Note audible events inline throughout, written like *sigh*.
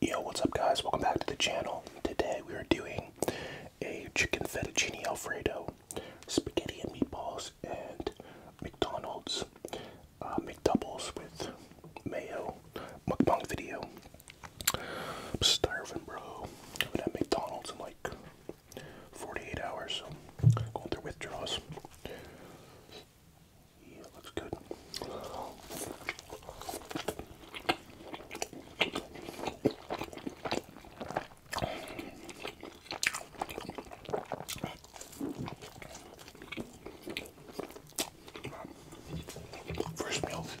Yo, what's up guys? Welcome back to the channel. Today we are doing a chicken fettuccine alfredo, spaghetti and meatballs, and McDonald's uh, McDoubles with mayo mukbang video. I'm starving, bro. I've been at McDonald's in like 48 hours, so I'm going through withdrawals. Yeah, it looks good. First meal of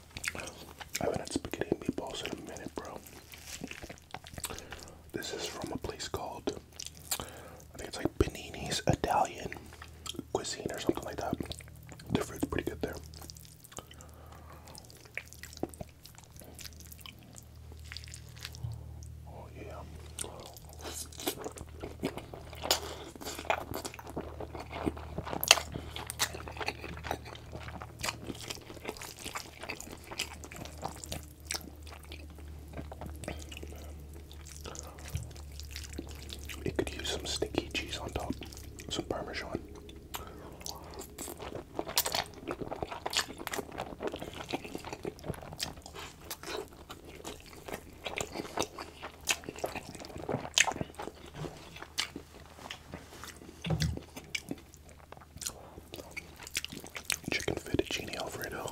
I haven't had spaghetti meatballs in a minute, bro. This is from a place called, I think it's like Benini's Italian Cuisine or something like that. Their food's pretty good there. Oh, yeah. It could use some sticky cheese on top, some parmesan. Chicken fettuccine Alfredo.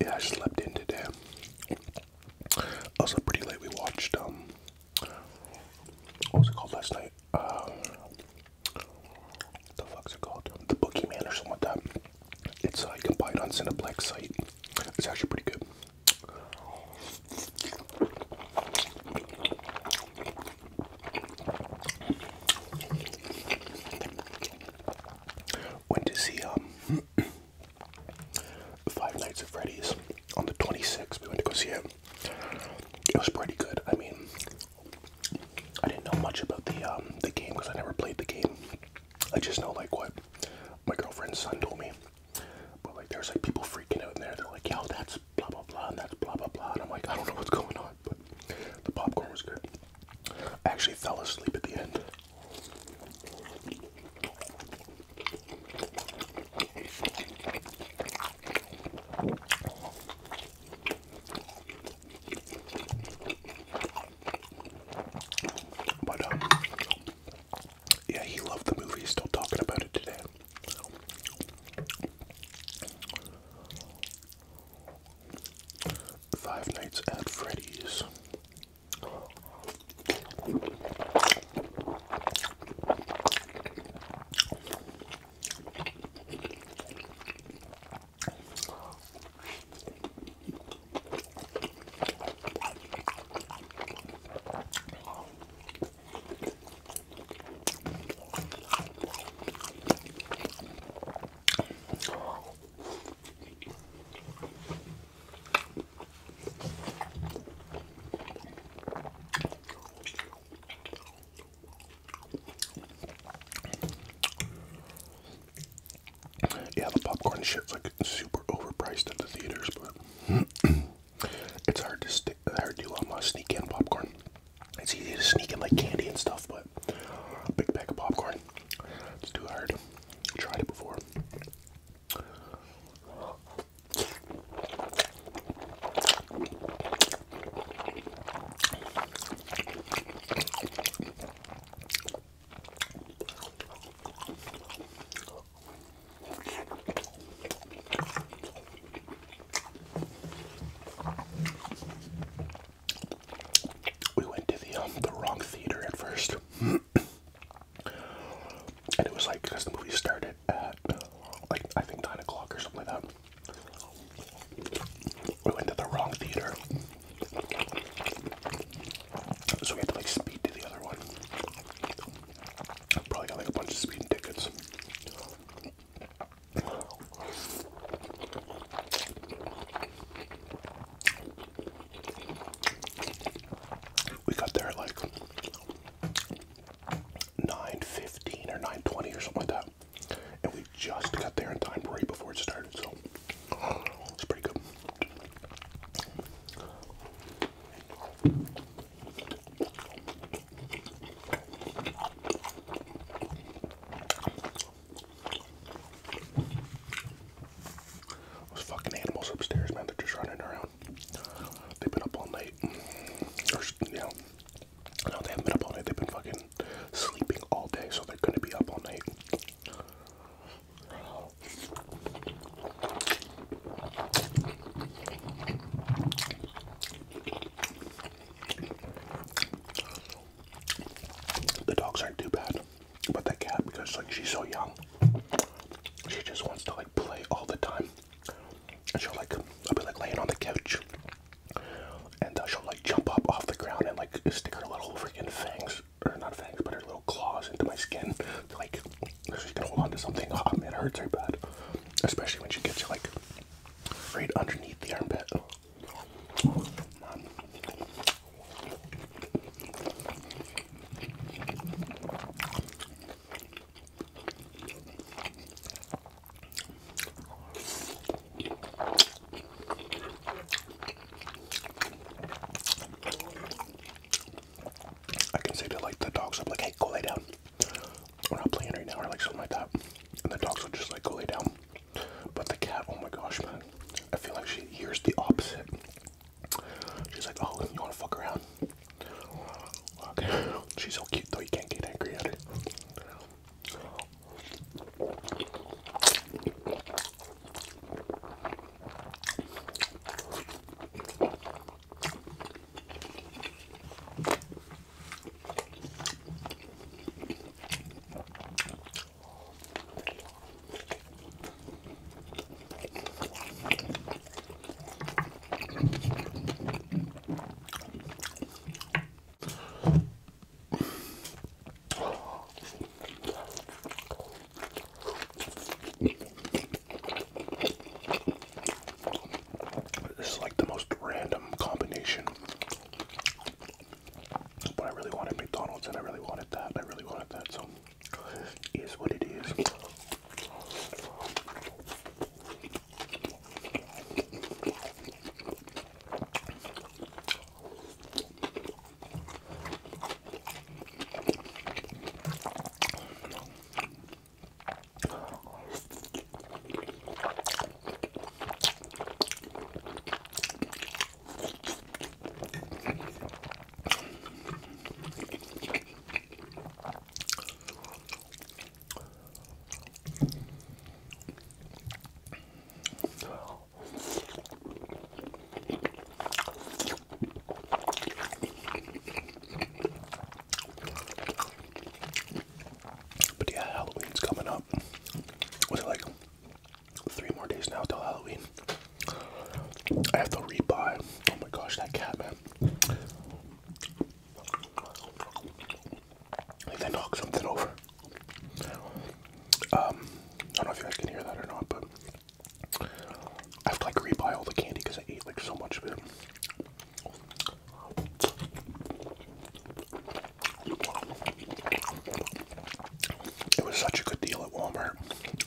Yeah, I slept in today. Also pretty late. We watched um what was it called last night? Um the fuck's it called? The Boogeyman or something like that. It's uh, you can buy it on Cineplex site. It's actually pretty good. Went to see um, *clears throat* Five Nights at Freddy's on the 26th. We went to go see it. It was pretty good. I mean, I didn't know much about the um, the game because I never played the game. I just know like what my girlfriend's son told me. But like there's like people freaking out in there. They're like, yo, that's blah blah blah and that's blah blah blah. And I'm like, I don't know what's going on, but the popcorn was good. I actually fell asleep at the end. But, um, yeah, he loved the movie, still talking about it today. Five Nights at Freddy's. Yeah, the popcorn shit's like super overpriced at the theaters, but *clears throat* it's hard to, st hard to um, uh, sneak in popcorn. It's easy to sneak in like candy and stuff, but a big pack of popcorn, it's too hard. I tried it before we went to the um the wrong theater at first, *clears throat* and it was like because the movie started at like I think nine o'clock or something like that. We went to the wrong theater, so we had to like speed to the other one. Probably got like a bunch of speeding tickets. We got there like 9.15 or 9.20 or something like that. And we just got there in time right before it started, so it's pretty good. Those fucking animals upstairs, man, they're just running around. They've been up all night. you know, no, they haven't been up all night. They've been fucking sleeping all day, so they're gonna be up all night. The dogs aren't too bad, but that cat, because like she's so young, she just wants to like play all the time. And she'll like, I'll be like laying on the couch, and uh, she'll like jump up off the ground and like stick her little freaking fangs, or not fangs, but her little claws into my skin like, she's gonna hold on to something. Oh um, man, it hurts her bad, especially when she gets you like right underneath the armpit. I can say to like the dogs, I'm like, hey, go lay down. We're not playing right now, or like something like that. And the dogs would just like go lay down. But the cat, oh my gosh, man. I feel like she hears the opposite. She's like, oh, you want to fuck around? She's so cute though, you can't get angry at her. This is like the most random combination but I really wanted McDonald's and I really wanted that. I really wanted that. So is what it is. But yeah, Halloween's coming up. Was it like three more days now till Halloween. I have to re-buy. Oh my gosh, that cat, man. They knocked something over. Um, I don't know if you guys can hear that or not, but I have to like re-buy all the candy because I ate like so much of it. It was such a good deal at Walmart.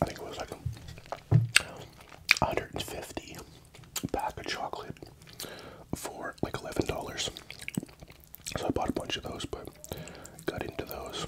I think it was like 150 pack of chocolate for like $11. So I bought a bunch of those, but got into those.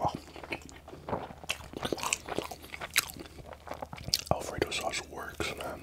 Oh. Alfredo sauce works, man.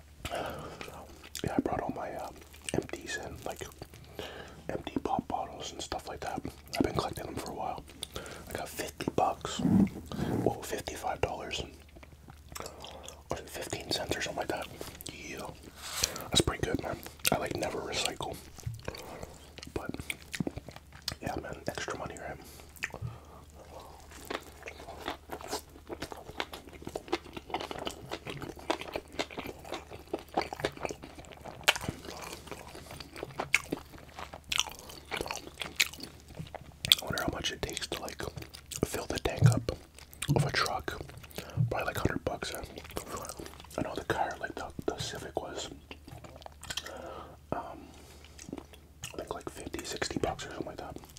Yeah, I brought all my uh, empties and like empty pop bottles and stuff like that. I've been collecting them for a while. I got 50 bucks. Whoa, $55. 15 cents or something like that. Yeah. That's pretty good, man. I like never recycle. But, yeah, man, extra money, right? I wonder how much it takes to like fill the tank up of a truck. Probably like hundred bucks. I, know the car, like the, the Civic, was um, I think like 50, 60 bucks or something like that.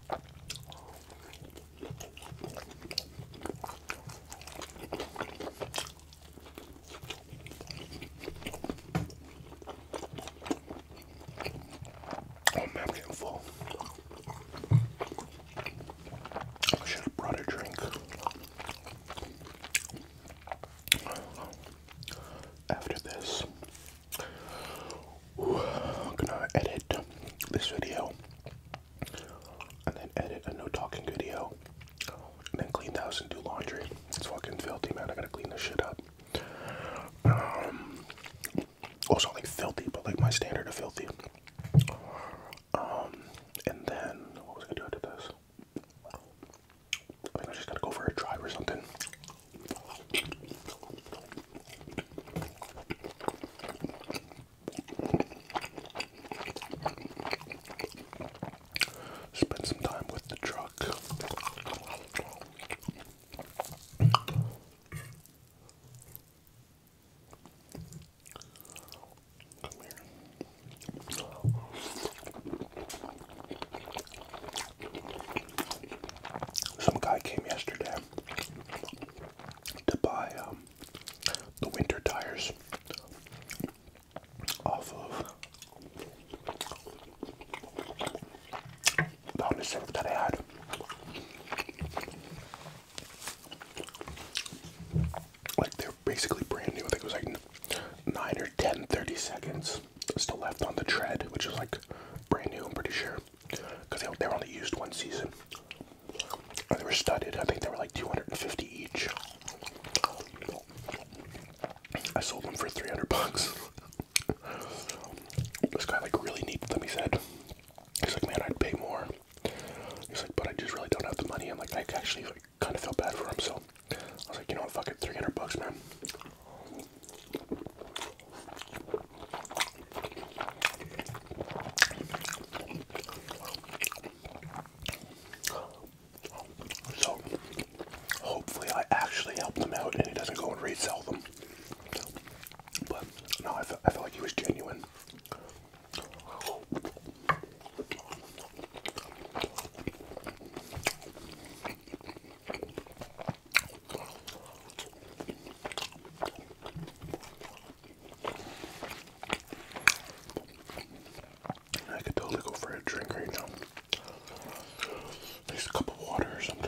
Oh man, I'm getting full. I should have brought a drink. After this, I'm gonna edit this video and then edit a no talking video, and then clean the house and do laundry. It's fucking filthy, man. I gotta clean this shit up. also um, like filthy, but like my standard of filthy. Um, and then what was I gonna do after this? I think I just gotta go for a drive or something. Spend some time with the truck. Some guy came yesterday to buy um the winter tires off of the only thing that I had. Like they're basically brand new. I think it was like nine or ten, 30 seconds still left on the tread, which is like brand new, I'm pretty sure because they, they were only used one season. And they were studded. I think they were like 250 each. I sold them for 300 bucks. this guy like really needed them. He said, "He's like, man, I'd pay more." He's like, "But I just really don't have the money." I'm like, I actually kind of felt bad for him, so I was like, you know what, fuck it, 300 bucks, man. So, hopefully, I actually help them out and he doesn't go and resell them. But no, I felt, like he was genuine. I could totally go for a drink right now. At a cup of water or something.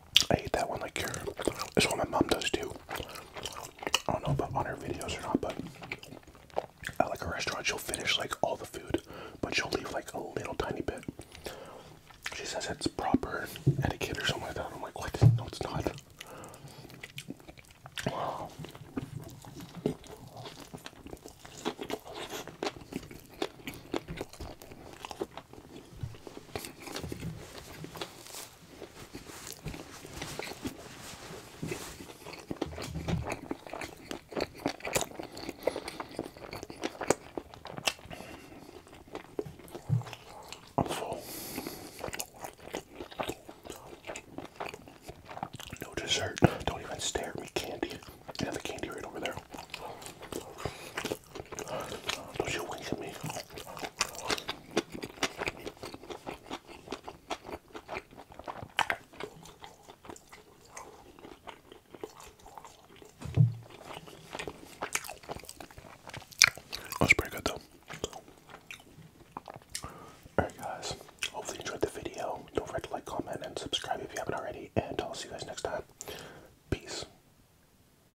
I hate that one. Like, That's what my mom does too. I don't know about on her videos or not, but at like a restaurant, she'll finish like all the food, but she'll leave like a little tiny bit. She says it's proper etiquette or something like that. I'm like, what? No, it's not. No dessert. Don't even stare at me. Candy. Have the candy right over there. That's oh, pretty good though. Alright guys, hopefully you enjoyed the video. Don't forget to like, comment, and subscribe if you haven't already, and I'll see you guys next time. Peace.